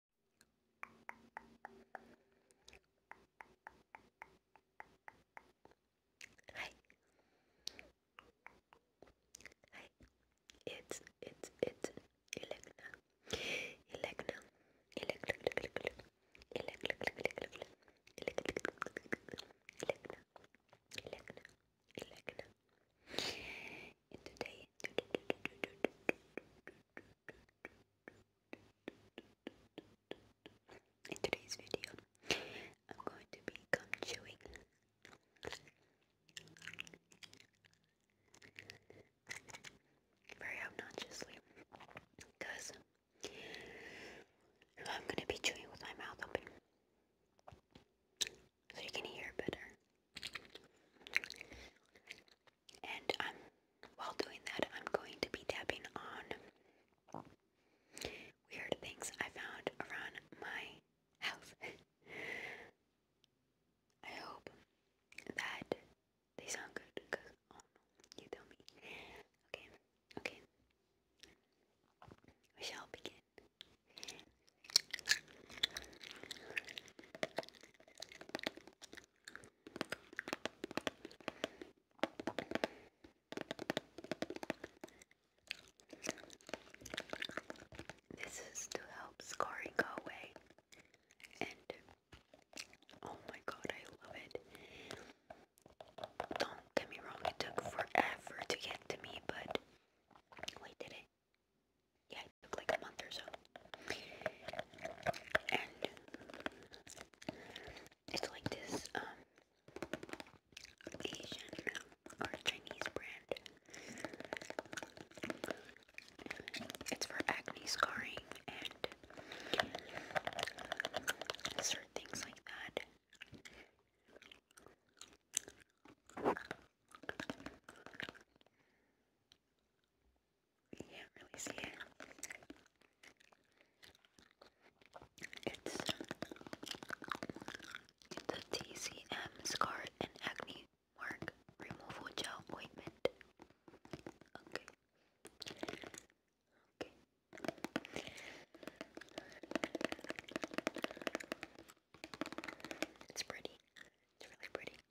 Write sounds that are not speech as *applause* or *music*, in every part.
Hi. Hi. It's it's it's Elecna. Elecna. Elecna. Elecna. Elecna. Elecna. Elecna. Elecna. Elecna. And today in today's video, I'm going to be chewing. Very obnoxiously, because I'm gonna be chewing with my mouth open, so you can hear better. And um, while doing that, I'm going to be tapping on weird things I found around my house. *laughs* I hope that they sound good because, oh, you tell me. Okay, okay. We shall begin. This is to help scarring go away. And oh my god, I love it. Don't get me wrong, it took forever to get to me, but we did it yeah, like a month or so. And it's like this um Asian um, or Chinese brand. It's for acne scarring and certain things like that can't really see it. It's the TCM Scar and Acne Mark Removal Gel Ointment. Okay. Okay. It's pretty. It's really pretty.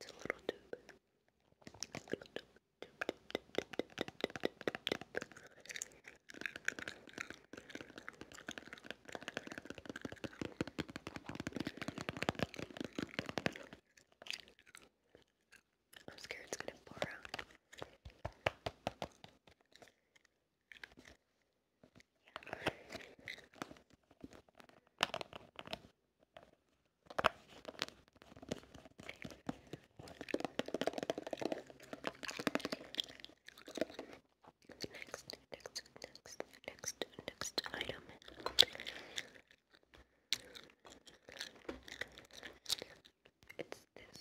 It's a little tube. A little tube. Tube, tube, tube, tube, tube, tube, tube, tube. I'm scared it's gonna pour out. Next, next, next, next, next item. It's this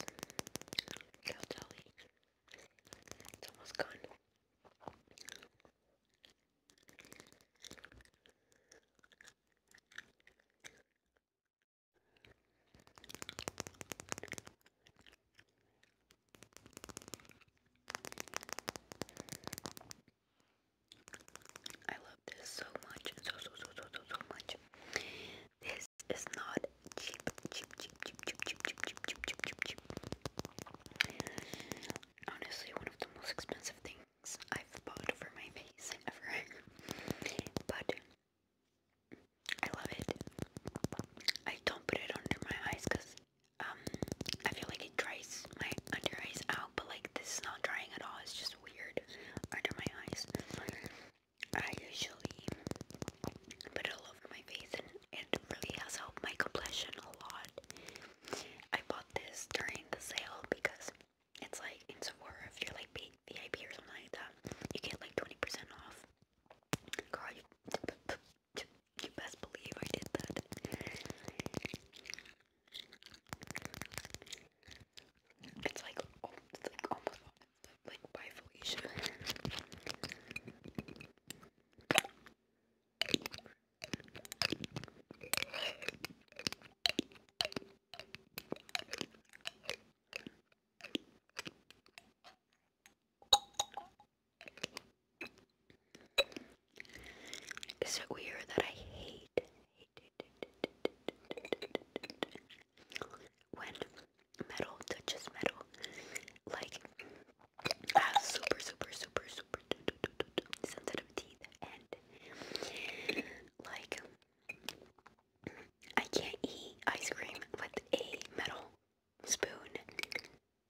Caldali. It's almost gone. I love this so much, so so so so so much. This is not cheap, cheap, cheap, cheap, cheap, cheap, cheap, cheap, cheap, cheap, cheap honestly one of the most expensive things I've bought for my face ever. *laughs* but I love it. I don't put it under my eyes because um I feel like it dries my under eyes out, but like this is not drying at all. It's just weird under my eyes. I usually put it over my face and it really has helped my complexion a lot. I bought this during the sale because it's like in Sephora if you're like VIP or something like that, you get like 20% off. Girl, you, best believe I did that. It's like, like almost like by is it weird that I hate, when metal touches metal? Like super, super, super, super sensitive teeth, and like I can't eat ice cream with a metal spoon.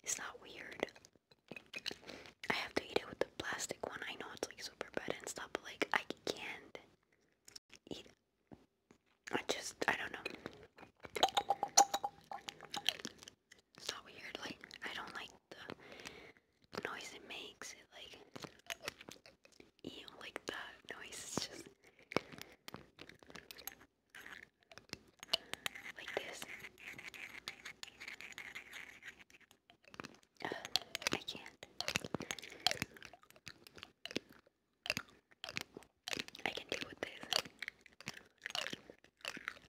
It's not weird. I have to eat it with the plastic one. I know it's like super bad and stuff, but like I can't eat. I just I don't know so weird. Like I don't like the noise it makes. It like ew, like that noise is just like this. Uh, I can't. I can deal with this.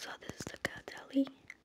So this is the Cadelli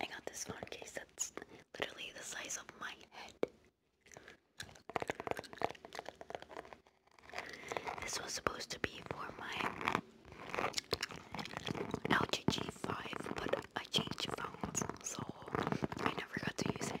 I got this phone case that's literally the size of my head. This was supposed to be for my LG G5, but I changed phones so I never got to use it.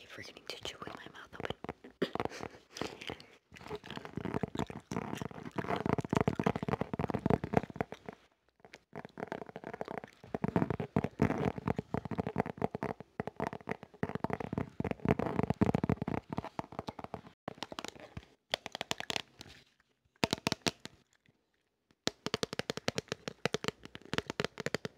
keep forgetting to chew with my mouth open.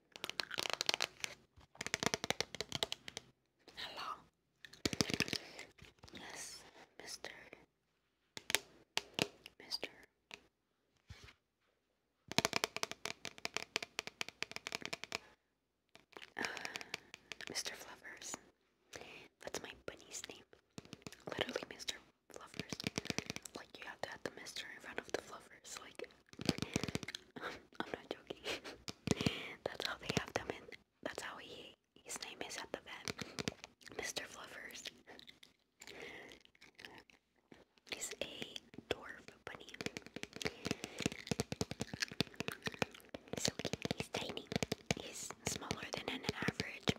Not Yes, Mr. Mr. Uh, Mr. Fluffers. That's my bunny's name. Literally, Mr. Fluffers. Like, you have to add the Mr. in front of the Fluffers. Like, *laughs* I'm not joking. *laughs* that's how they have them in. That's how he his name is at the vet. Mr. Fluffers. He's a dwarf bunny. So he's tiny. He's smaller than an average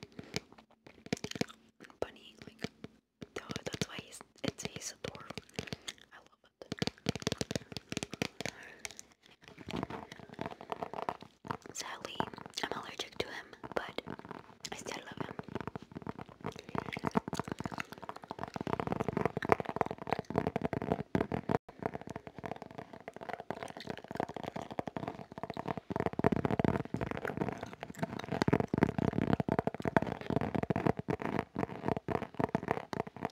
bunny. Like, that's why he's it's he's a dwarf. I love Sadly, I'm allergic to him, but I still love him.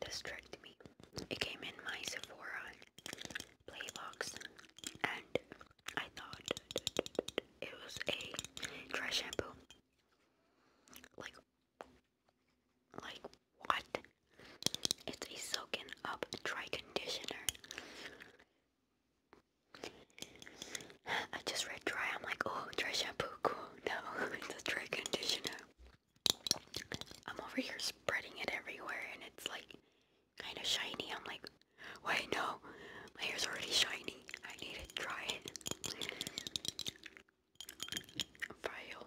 Distract Me. It came in my Sephora play box and I thought it was a dry shampoo. Like like what? It's a soaking up dry conditioner. I just read dry. I'm like, oh, dry shampoo, cool. *laughs* No, *laughs* it's a dry conditioner. I'm over here spreading it everywhere and it's like kind of shiny. I'm like, why no, my hair's already shiny. I need to dry it. File.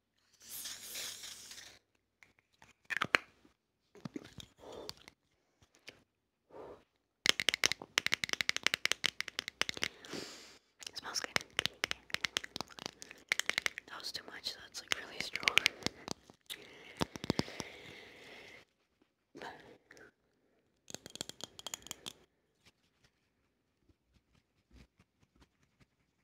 It smells good. That was too much, that's like really strong.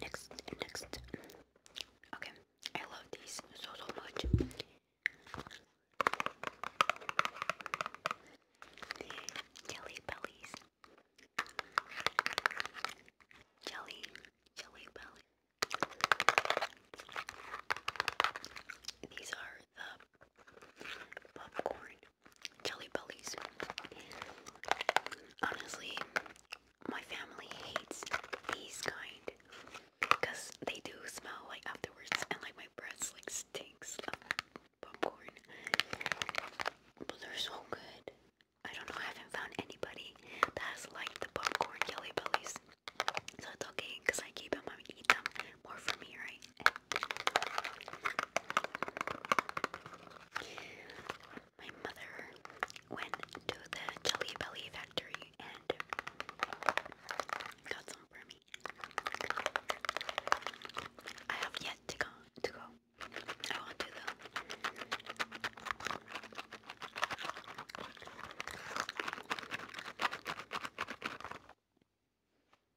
Next, next. Okay, I love these so so much. Jelly bellies. Jelly, jelly belly. These are the popcorn, jelly bellies. Honestly, my family hates these kind because they do smell like afterwards, and like my breath like stinks of popcorn. But they're so good. I don't know. I haven't found anybody that has liked the popcorn jelly bellies. So it's okay because I keep them. I eat them more for me, right? My mother went to the Jelly Belly factory and got some for me. I have yet to go. I want to though.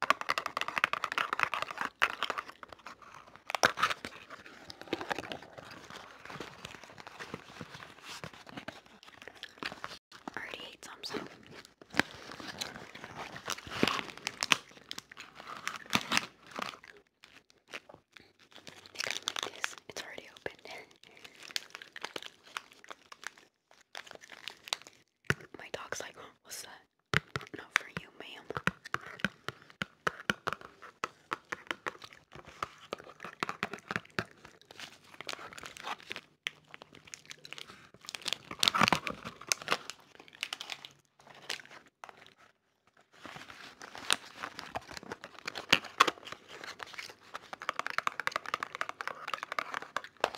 I already ate some, so. They come like this. It's already open. *laughs* My dog's like, what's that? Not for you, ma'am.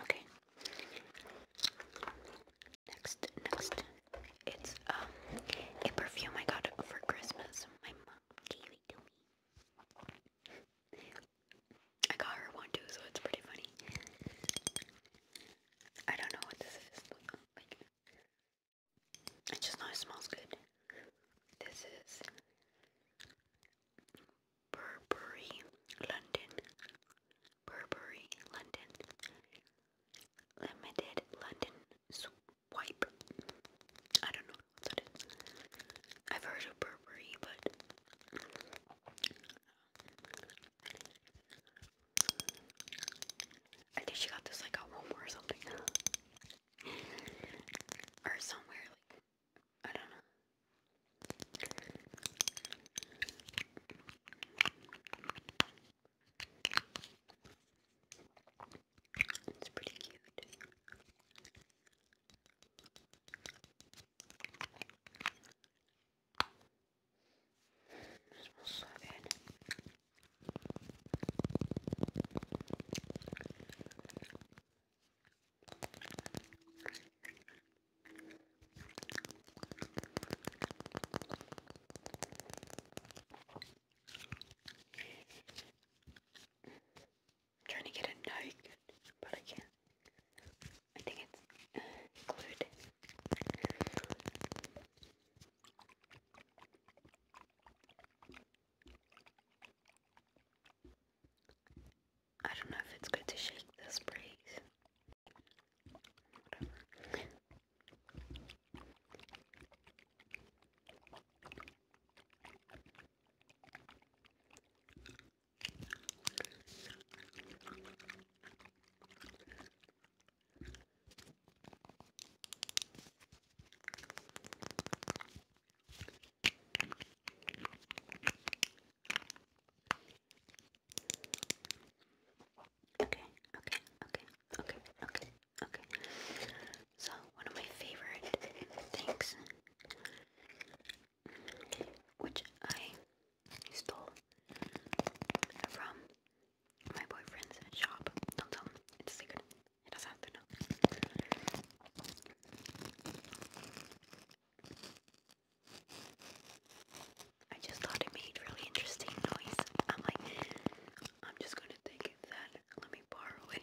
Okay. Next, next, it's um, a perfume I got for Christmas. My mom gave it to me. I got her one too, so it's pretty funny. I don't know what this is. I just know it smells good. This is Burberry London. Burberry London. Limited London Swipe. I don't know what is. I've heard of Burberry, but. I think she got this like at Walmart or something. or somewhere like I don't know. It's pretty cute. It smells so good. I'm trying to get a note, but I can't. I think it's uh, glued. I don't know if it's good to shake this breeze. Okay, okay, okay, okay, okay, okay. So, one of my favorite things, which I stole from my boyfriend's shop. Don't tell it's a secret. It doesn't have to know. I just thought it made really interesting noise. I'm like, I'm just gonna take that. Let me borrow it.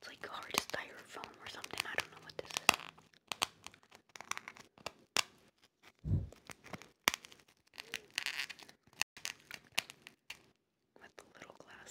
It's like a hard styrofoam or something. I don't know what this is. With the little glass,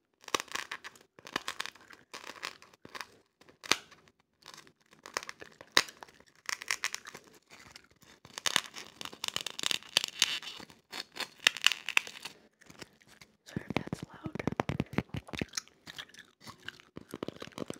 Sorry if that's loud. oh my mic.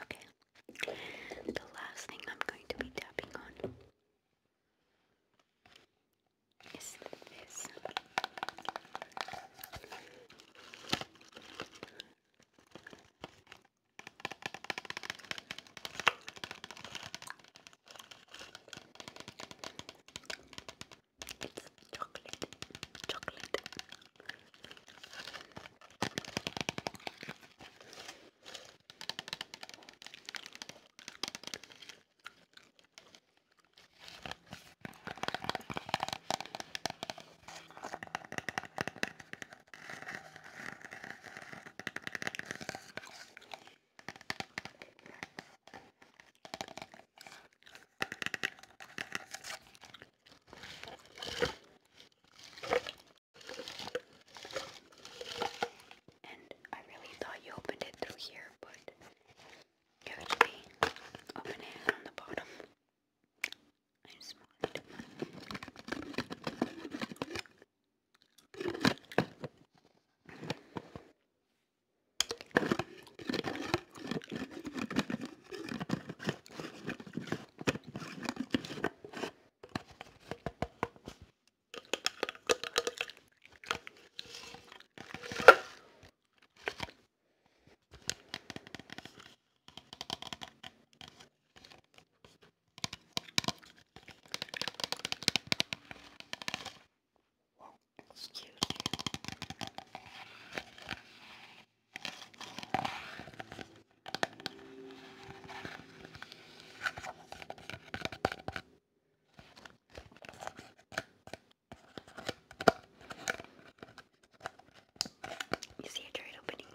Okay, the last thing I'm going to be tapping on is this. It's chocolate, chocolate. And I really thought you opened it through here, but you actually open it on the bottom. I'm smart. Whoa, excuse me. You see a turret opening.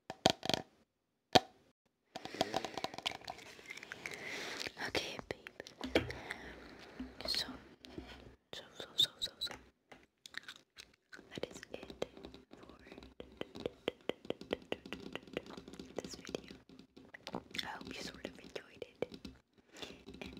Okay, babe. So, so, so, so, so, That is it for this video. I hope you sort of enjoyed it.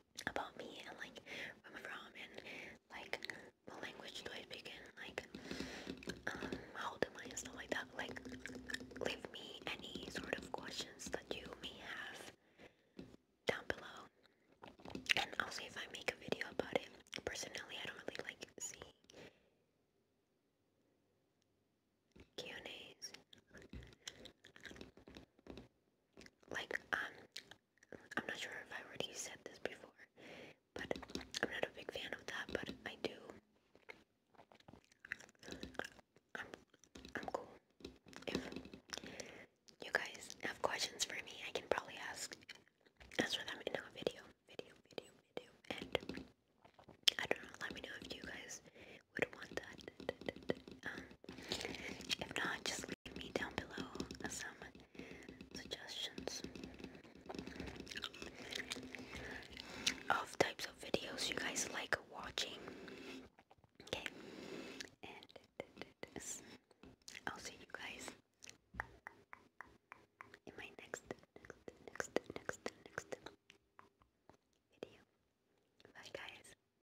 about me and like where I'm from and like what language do I speak and like um, how do I and stuff like that. Like leave me any sort of questions that you may have down below and I'll see if I make a video about it. Personally I don't really like see Q&As like um I'm not sure if I already said this before, but I'm not a big fan of that, but I do. I'm I'm cool. If you guys have questions for me, I can probably ask answer them in a video, video, video, video, and I don't know. Let me know if you guys would want that. if not, just leave me down below some suggestions of types of videos you guys like watching. Okay, and I'll see you guys in my next, next, next, next, next video. Bye, guys.